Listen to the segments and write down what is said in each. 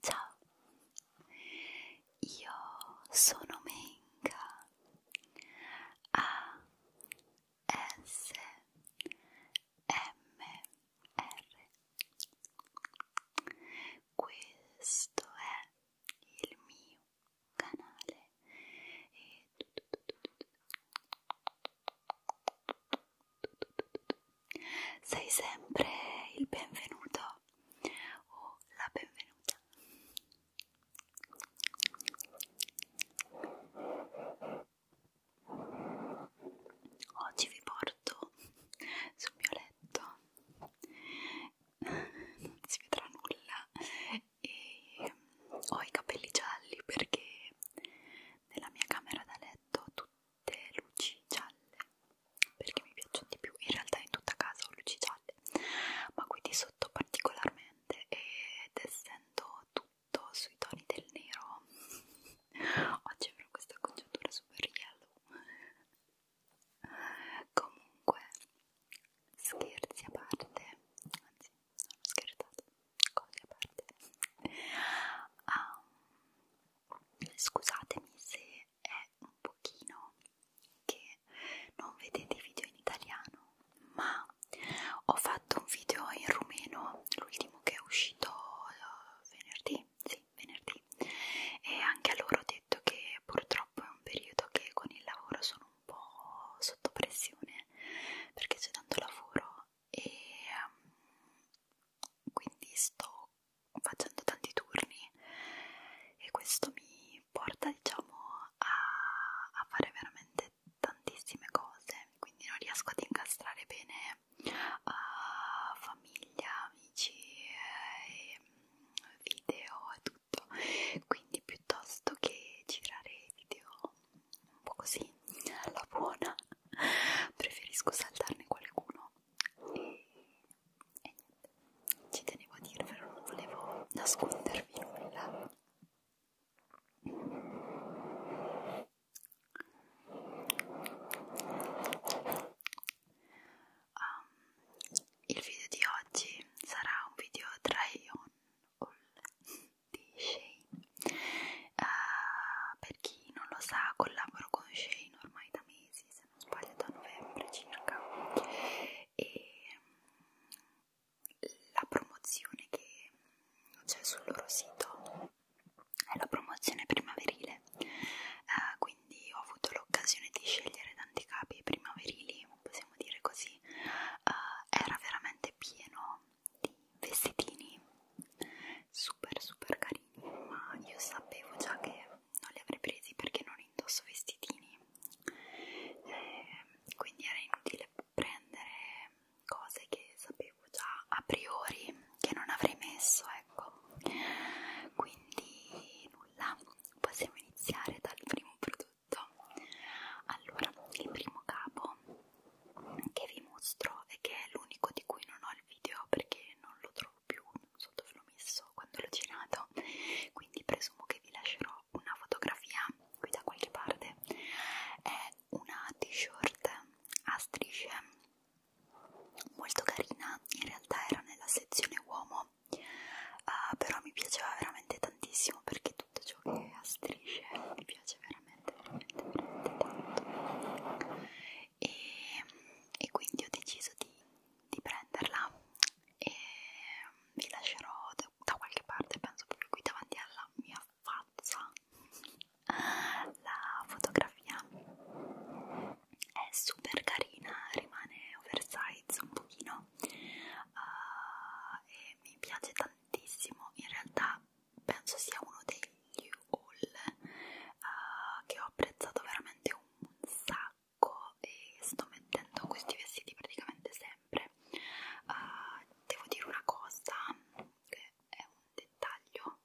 Ciao, io sono Menga a ah, S M R questo è il mio canale e sei sempre il benvenuto o la benvenuta oggi vi porto sul mio letto non si vedrà nulla e ho i capelli gialli perché nella mia camera da letto ho tutte luci gialle perché mi piacciono di più in realtà in tutta casa ho luci gialle ma qui di sotto particolarmente ed essendo tutto tutto sui toni del nero oggi avrò questa congiuntura super yellow comunque scherzi a parte anzi non ho scherzato cose a parte um, scusatemi se è un pochino che non vedete i video in italiano ma ho fatto un video in rumeno, l'ultimo che è uscito eh, venerdì, sì, venerdì, e anche a loro ho detto che purtroppo è un periodo che con il lavoro sono un po' sotto pressione perché c'è tanto lavoro e um, quindi sto facendo tanti turni e questo mi porta diciamo a, a fare veramente tantissime cose, quindi non riesco ad incastrare bene uh, famiglia, amici, eh, video e tutto. Quindi piuttosto che girare video un po' così alla buona, preferisco saltarne qualcuno. E, e niente, ci tenevo a dirvelo, non volevo nascondervi nulla. Um, il video di oggi sarà un video try on all di Shane uh, per chi non lo sa collaboro con Shane ormai da mesi se non sbaglio da novembre circa e la promozione che c'è sul loro sito è la promozione primaverile eh, quindi ho avuto l'occasione di scegliere tanti capi primaverili possiamo dire così eh, era veramente pieno di vestitini super super carini ma io sapevo già che non li avrei presi perché non indosso vestitini eh, quindi era inutile prendere cose che sapevo già a priori che non avrei messo, ecco. Quindi nulla, possiamo iniziare dal primo prodotto. Allora, il primo capo che vi mostro e che è l'unico di cui non ho il video perché non lo trovo più, non so dove l'ho messo quando l'ho girato, quindi presumo che vi lascerò una fotografia qui da qualche parte. È è una t-shirt a strisce molto carina, in realtà era nella sezione uomo, uh, però mi piaceva veramente tantissimo perché tutto ciò che è a strisce mi piace veramente, veramente, veramente tanto. E, e quindi ho deciso di, di prenderla e vi lascerò da, da qualche parte, penso proprio qui davanti alla mia faccia la fotografia è super carina, rimane oversize un pochino uh, e mi piace tantissimo, in realtà penso sia uno degli haul uh, che ho apprezzato veramente un sacco e sto mettendo questi vestiti praticamente sempre uh, devo dire una cosa che è dettaglio,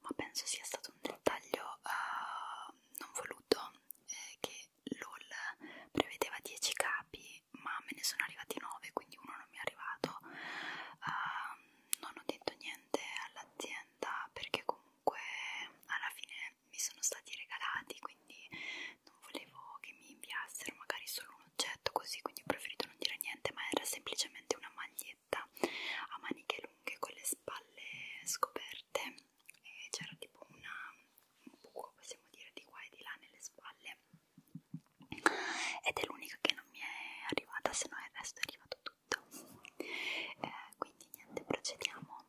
ma penso sia stato un dettaglio uh, non voluto, eh, che LOL prevedeva 10 capi, ma me ne sono arrivati 9, quindi uno non mi è arrivato. Uh, non ho detto niente all'azienda perché comunque alla fine mi sono stati regalati, quindi non volevo che mi inviassero magari solo un oggetto così quindi ho preferito non dire niente ma era semplicemente una maglietta a maniche lunghe con le spalle scoperte e c'era tipo una, un buco possiamo dire di qua e di là nelle spalle ed è l'unica che non mi è arrivata se no il resto è arrivato tutto eh, quindi niente procediamo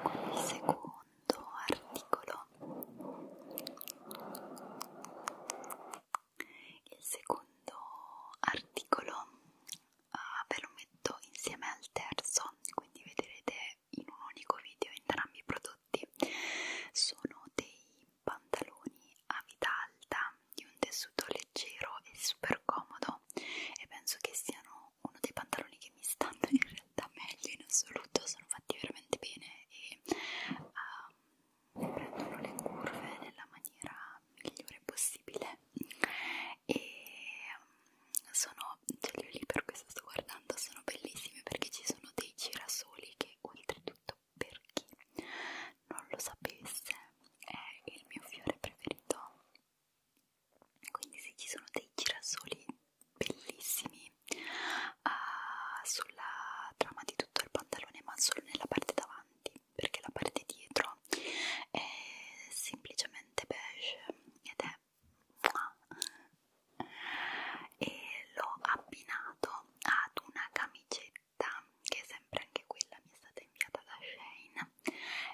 con il secondo articolo il secondo articolo uh, ve lo metto insieme al terzo, quindi vedrete in un unico video entrambi i prodotti. Sono dei pantaloni a vita alta di un tessuto leggero e super comodo e penso che siano uno dei pantaloni che mi stanno in realtà meglio in assoluto, sono fatti veramente bene e uh, prendono le curve nella maniera migliore possibile e mm, sono, cioè io lì per questo sto guardando, sono bellissime perché ci sono dei girasoli che oltretutto per chi non lo sapesse è il mio fiore preferito quindi sì, ci sono dei girasoli bellissimi uh, sulla trama di tutto il pantalone ma solo nella parte davanti perché la parte dietro è semplicemente beige ed è e l'ho abbinato ad una camicetta che sempre anche quella mi è stata inviata da Shane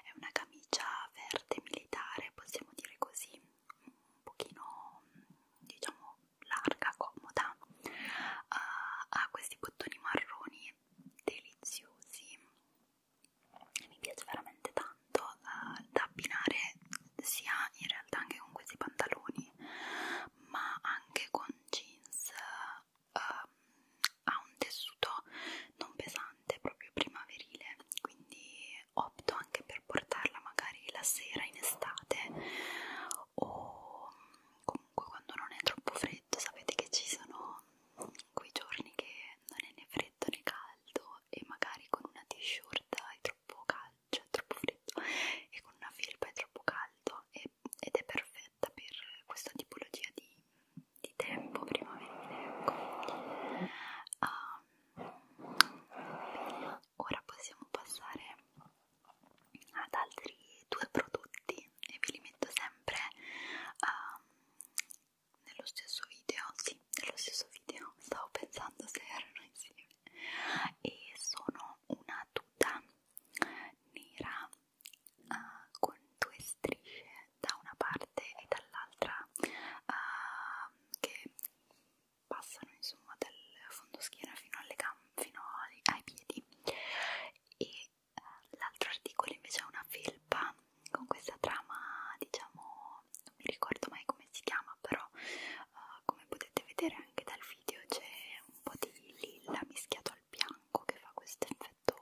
è una camicia verde militare possiamo dire così un pochino diciamo larga, comoda, uh, ha questi bottoni marroni deliziosi, mi piace veramente tanto uh, da abbinare sia in realtà anche con questi pantaloni, ma anche con jeans, uh, ha un tessuto non pesante, proprio primaverile, quindi opto anche per portarla magari la sera in estate o comunque quando non è troppo freddo sapete che ci sono quei giorni che non è né freddo né caldo e magari con una t-shirt è troppo caldo, cioè è troppo freddo e con una felpa è troppo caldo e, ed è perfetta per questa tipologia di, di tempo primaverile ecco um, ora possiamo passare ad altri due prodotti e ve li metto sempre um, nello stesso video sì, nello stesso video stavo pensando se erano insieme e sono una tuta nera uh, con due strisce da una parte e dall'altra uh, che passano insomma dal fondoschiena fino alle gambe fino ai, ai piedi e eh, l'altro articolo invece è una felpa con questa trama diciamo non mi ricordo mai come si chiama però eh, come potete vedere anche dal video c'è un po' di lilla mischiato al bianco che fa questo effetto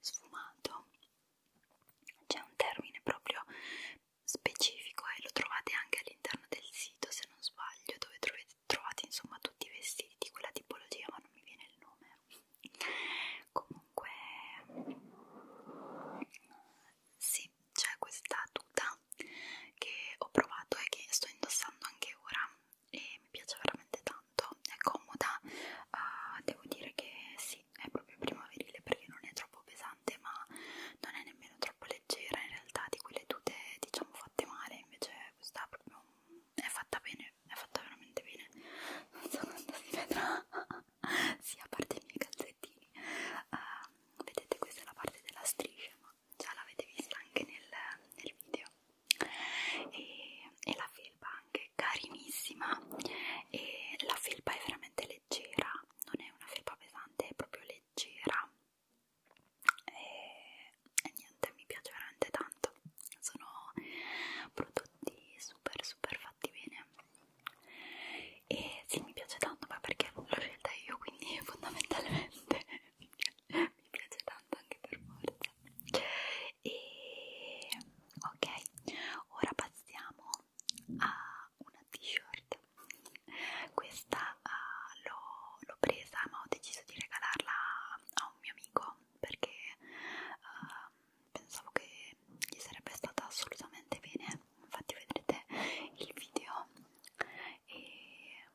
sfumato c'è un termine proprio specifico e lo trovate anche all'interno del sito se non sbaglio dove trovate, trovate insomma tutti i vestiti di quella tipologia ma non mi viene il nome comunque sì c'è questa tuta che ho provato e che sto indossando anche ora e mi piace veramente tanto è comoda uh, devo dire che sì è proprio primaverile perché non è troppo pesante ma non è nemmeno troppo leggera in realtà di quelle tute diciamo fatte male invece questa proprio è fatta bene, è fatta veramente bene. Non so quanto si vedrà, sì, a parte i miei calzettini. Uh, vedete, questa è la parte della striscia, ma già l'avete vista anche nel, nel video. E, e la felpa anche carinissima. E la felpa è veramente leggera, non è una felpa pesante, è proprio leggera e, e niente mi piace veramente tanto sono prodotti super super fatti bene e sì mi piace tanto ma perché l'ho scelta io quindi fondamentalmente mi piace tanto anche per forza e ok ora passiamo a una t-shirt questa questa uh, eh, l'ho presa ma ho deciso di regalarla a un mio amico perché uh, pensavo che gli sarebbe stata assolutamente bene infatti vedrete il video e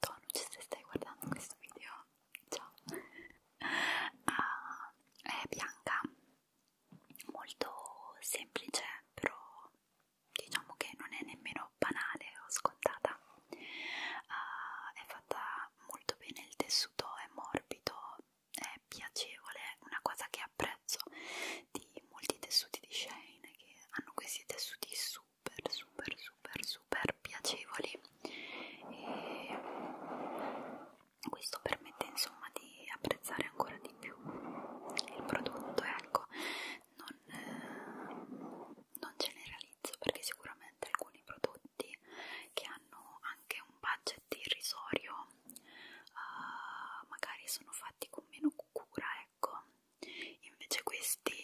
Tonu se stai guardando questo video ciao uh, è bianca molto semplice però diciamo che non è nemmeno davvero banale o scontata uh, è fatta molto bene il tessuto è morbido è piacevole una cosa che apprezzo di molti tessuti di Shane che hanno questi tessuti super super super super piacevoli e questo permette insomma di apprezzare ancora di più il prodotto ecco non, eh, non genera analizzo perché sicuramente alcuni prodotti che hanno anche un budget irrisorio uh, magari sono fatti con meno cura ecco invece questi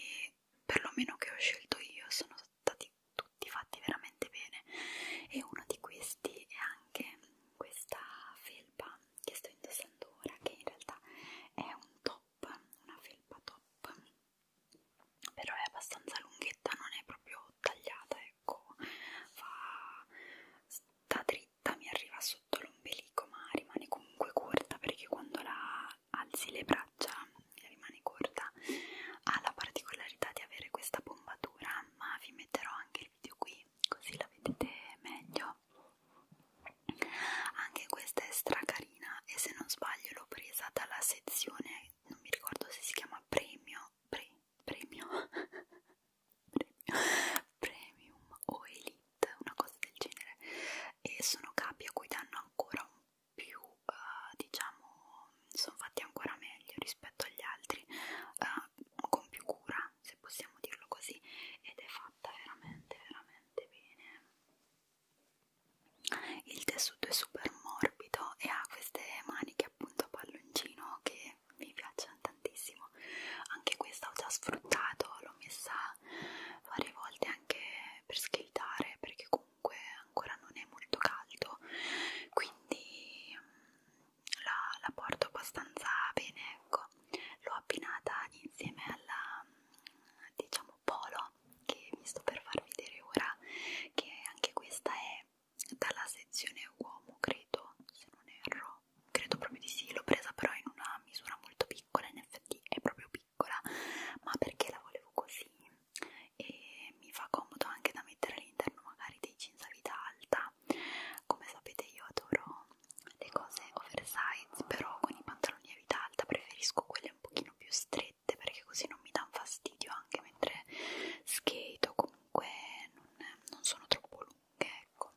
perlomeno che ho scelto io sono stati tutti fatti veramente bene e uno di questi è anche questa felpa che sto indossando ora che in realtà è un top una felpa top però è abbastanza lunghetta, non è proprio tagliata, ecco, fa sta dritta, mi arriva sotto l'ombelico, ma rimane comunque corta perché quando la alzi le braccia rimane corta. Ha la particolarità di avere questa bombatura, ma vi metterò anche il video qui così la vedete meglio. Anche questa è stracarina carina e se non sbaglio l'ho presa dalla sezione, non mi ricordo se si chiama premio, pre, premio, premio, premium o elite, una cosa del genere e sono capi a cui danno ancora un più, uh, diciamo, sono fatti ancora meglio rispetto agli altri, uh, con più cura se possiamo dirlo così ed è fatta veramente veramente bene il tessuto è super morbido e ha queste maniche appunto a palloncino che mi piacciono tantissimo anche questa ho già sfruttato l'ho messa varie volte anche per skateare perché comunque ancora non è molto caldo quindi mm, la, la porto abbastanza bene ecco l'ho abbinata insieme alla diciamo polo che vi sto per far vedere ora che anche questa è dalla sezione uomo credo se non erro credo proprio di sì l'ho presa però in una misura molto piccola in effetti è proprio piccola ma perché la volevo così e mi fa comodo anche da mettere all'interno magari dei jeans a vita alta come sapete io adoro le cose oversize però con i pantaloni a vita alta preferisco quelle un pochino più strette levette perché così non mi danno fastidio anche mentre skate o comunque non, non sono troppo lunghe ecco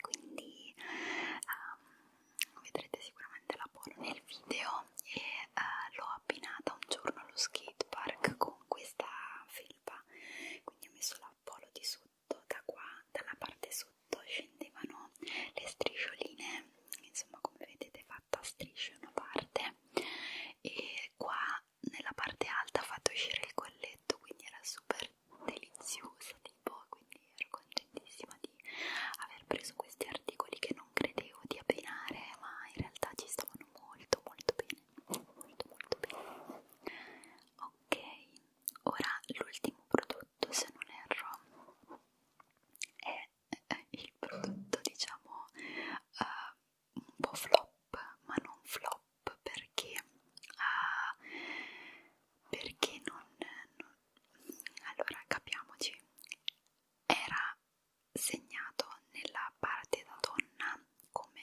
quindi um, vedrete sicuramente la polo nel video e uh, l'ho abbinata un giorno allo skate park con questa felpa quindi ho messo la polo di sotto da qua dalla parte sotto scendevano le striscioline insomma come vedete fa fatta a strisce una parte e qua nella parte alta ha fatto uscire il colletto quindi era super deliziosa tipo quindi ero contentissima di aver preso questi articoli che non credevo di abbinare ma in realtà ci stavano molto molto bene molto molto bene ok ora l'ultimo prodotto se non erro è è eh, il prodotto diciamo uh, un po' flop ma non flop perché, uh, perché non, non allora capiamoci era segnato nella parte da donna come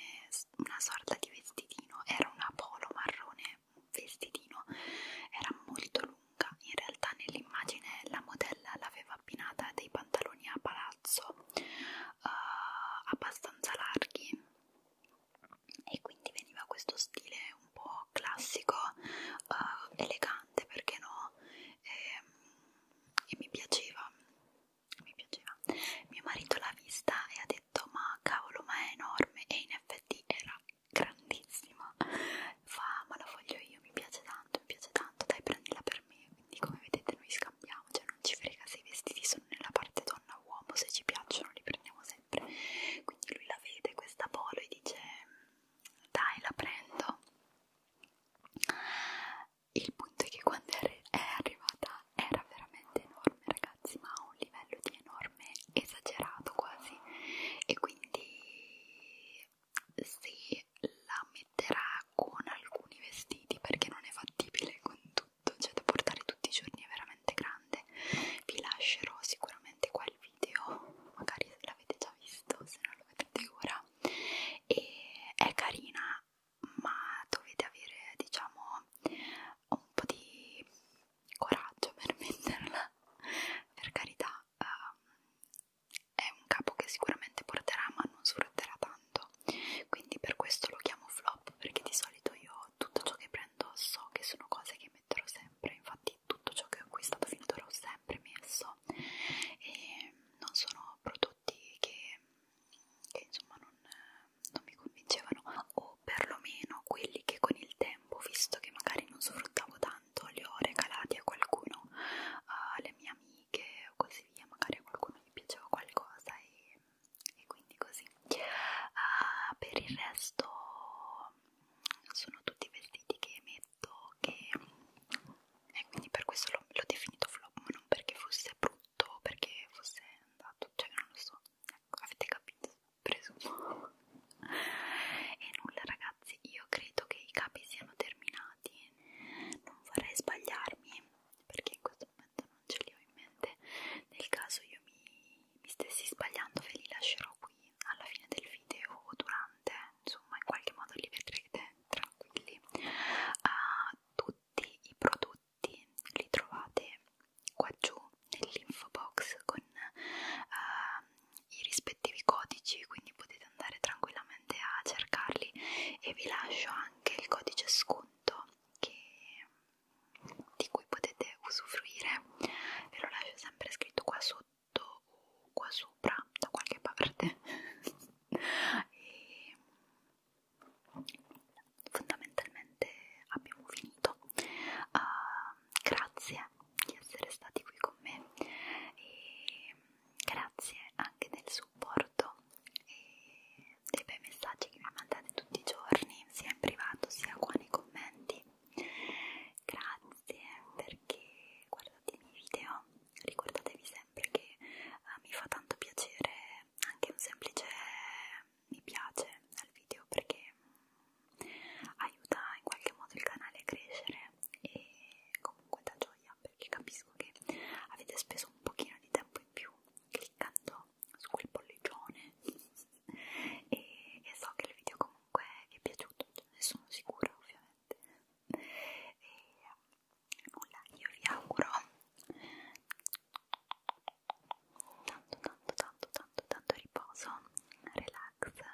una sorta di vestitino era una polo marrone un vestitino era molto lunga, in realtà nell'immagine la modella l'aveva abbinata a dei pantaloni a palazzo eh, abbastanza larghi e quindi veniva questo stile un po' classico, eh, elegante perché no, e, ehm, e mi piaceva, mi piaceva. Mio marito l'ha vista e ha detto ma cavolo ma è enorme e in effetti era grandissima, fa ma la voglio io, mi piace tanto tanto, mi piace tanto, dai prendila per me, quindi come vedete noi scambiamo, cioè non ci frega se i vestiti sono nella parte donna uomo, se ci piacciono li prendiamo sempre, quindi lui la vede questa polo e dice dai la prendo, il punto è che quando è arrivata era veramente enorme ragazzi, ma a un livello di enorme esagerato quasi, e quindi se la metterà con alcuni vestiti perché non è fattibile con tutto, cioè da portare tutti i giorni è veramente grande. Vi lascerò sicuramente qua il video, magari l'avete già visto, se non lo vedete ora. E è carina, ma dovete avere, diciamo, un po' di coraggio per metterla. Per carità, um, è un capo che sicuramente porterà ma non sfrutterà tanto quindi per questo lo chiamo flop perché di solito io tutto ciò che prendo so che sono cose che metterò sempre infatti tutto ciò che ho acquistato finora l'ho sempre messo e non sono prodotti che, che insomma non, non mi convincevano o perlomeno quelli che con il tempo visto che magari non sfruttavo tanto tanto li ho regalati a qualcuno, alle mie amiche o così via, magari a qualcuno gli piaceva qualcosa e, e quindi così. Uh, per il resto sono tutti vestiti che metto che e quindi per questo l'ho definito flop, ma non perché fosse brutto, perché fosse andato, cioè non lo so, ecco, avete capito, presumo. e nulla ragazzi, io credo che i capi siano terminati, non vorrei sbagliarmi perché in questo momento non ce li ho in mente nel caso io mi, mi stessi sbagliando ve li lascerò qui alla fine del video o durante insomma in qualche modo li vedrete tranquilli uh, tutti i prodotti li trovate qua giù nell'info box con uh, i rispettivi codici quindi potete andare tranquillamente a cercarli e vi lascio anche il codice sconto che, di cui potete usufruire ve lo lascio sempre scritto qua sotto o qua sopra da qualche parte e fondamentalmente abbiamo finito uh, grazie di essere stati qui con me e grazie anche del supporto e dei bei messaggi che mi mandate tutti i giorni, sia in privato sia qua nei commenti. Grazie perché guardate i miei video, ricordatevi sempre che uh, mi fa tanto piacere anche un semplice mi piace al video perché mm, aiuta in qualche modo il canale a crescere e comunque dà gioia perché capisco che avete speso un pochino di tempo in più cliccando su quel pollicione e, e so che il video comunque vi è piaciuto, cioè, ne sono sicura ovviamente e nulla, io vi auguro tanto tanto tanto tanto tanto riposo, relax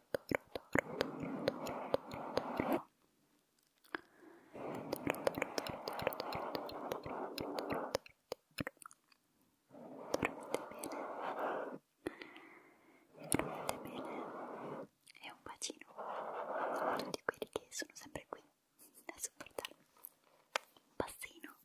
toro, toro, toro, toro, toro, toro. Dormite bene e un bacino a tutti quelli che sono sempre qui a supportarmi. Un bassino.